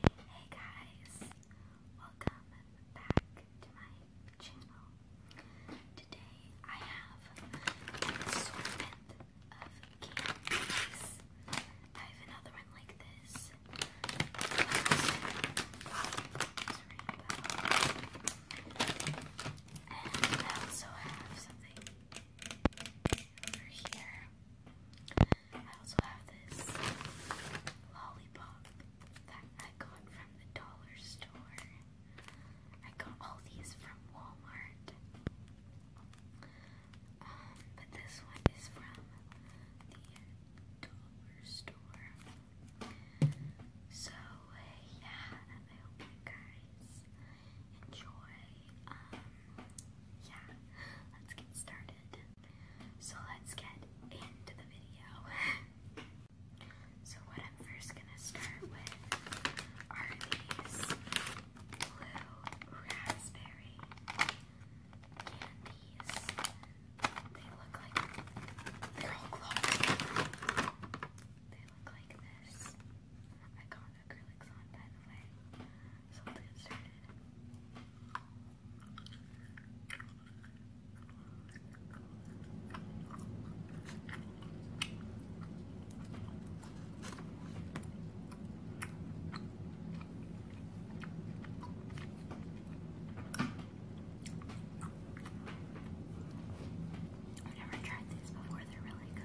Hey guys, welcome back to my channel. Today I have an assortment of candies. I have another one like this. And I also have something over here. I also have this lollipop that I got from the dollar store. I got all these from Walmart. Um, but this one is from the dollar store. So, yeah, I hope you guys enjoy. Um, yeah, let's get started. So let's get into the video. so what I'm first gonna start with are these blue raspberry candies. They look like they're all glowing. They look like this. I got so let's get started. I've never tried these before, they're really good.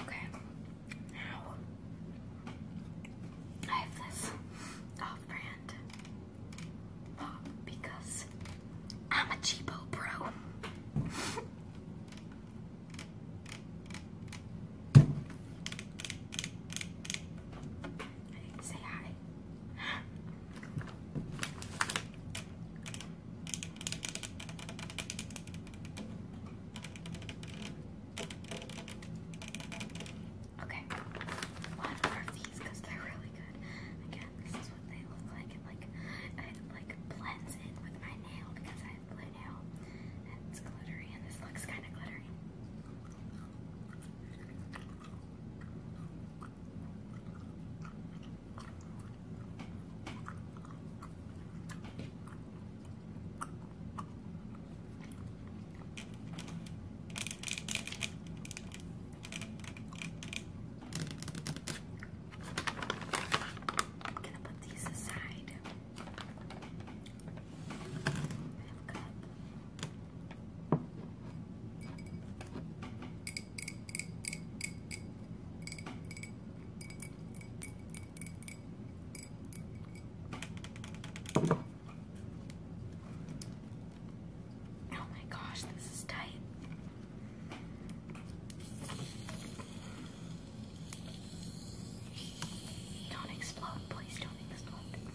Okay, now I have this because I'm a cheapo bro. say hi. Okay, one more of these because they're really good. Again, this is what they look like. It like it like blends in with my nail because I have blue nail it's glittery and this looks kind of glittery. I'm gonna put these aside. I have a cup. Oh my gosh, this is tight. Don't explode, please don't explode.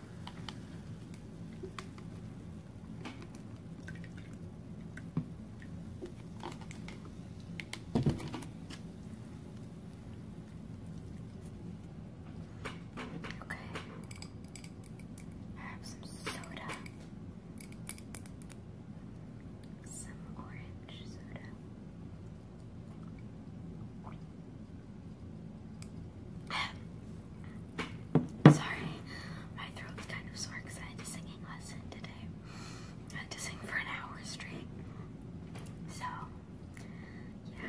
Okay. I have some soda. Some orange soda. Sorry, my throat's kind of sore because I had a singing lesson today. I had to sing for an hour straight. So, yeah.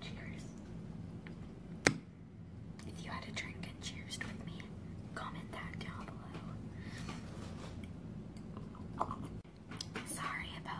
Cheers. If you had a drink and cheersed with me, comment that down below. Sorry about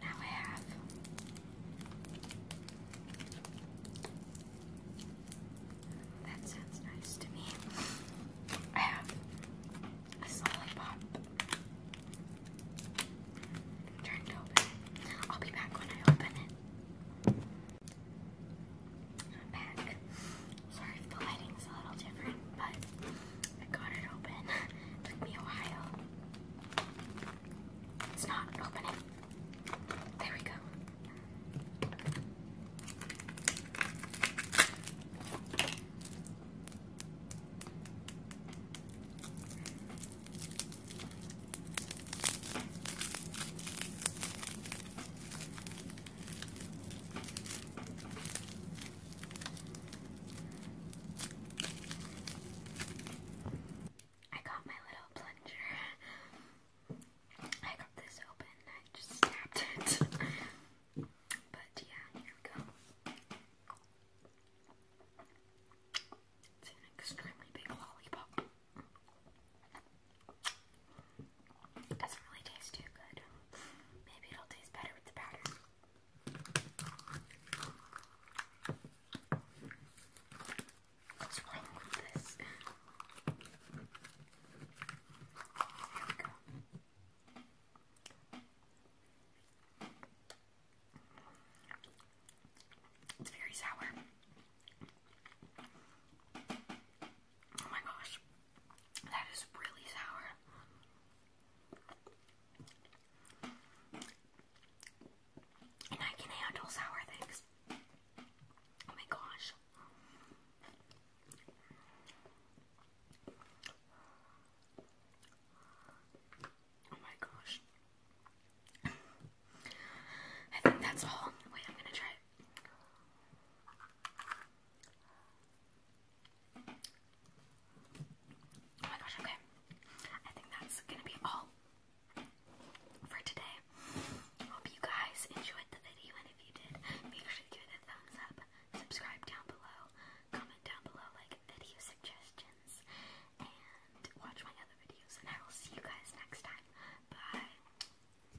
Now I have that sounds nice to me. I have a lollipop turned open. I'll be back when I open it. i back. Sorry if the lighting's a little different, but I got it open. took me a while. It's not opening. There we go. I got my little plunger. I got this open and I just snapped it. but yeah, here we go. It's an extremely big lollipop. It doesn't really taste too good. Maybe it'll taste better with the powder. What's wrong with this? Here we go. It's very sour. Oh my gosh, that is really sour. And I can handle sour things. Oh my gosh. Oh my gosh. I think that's all. Wait, I'm gonna try Oh my gosh, okay. I think that's gonna be all for today. Hope you guys enjoyed the video, and if you did, make sure to give it a thumbs up, subscribe down below, comment down below like video suggestions, and watch my other videos. And I will see you guys next time. Bye.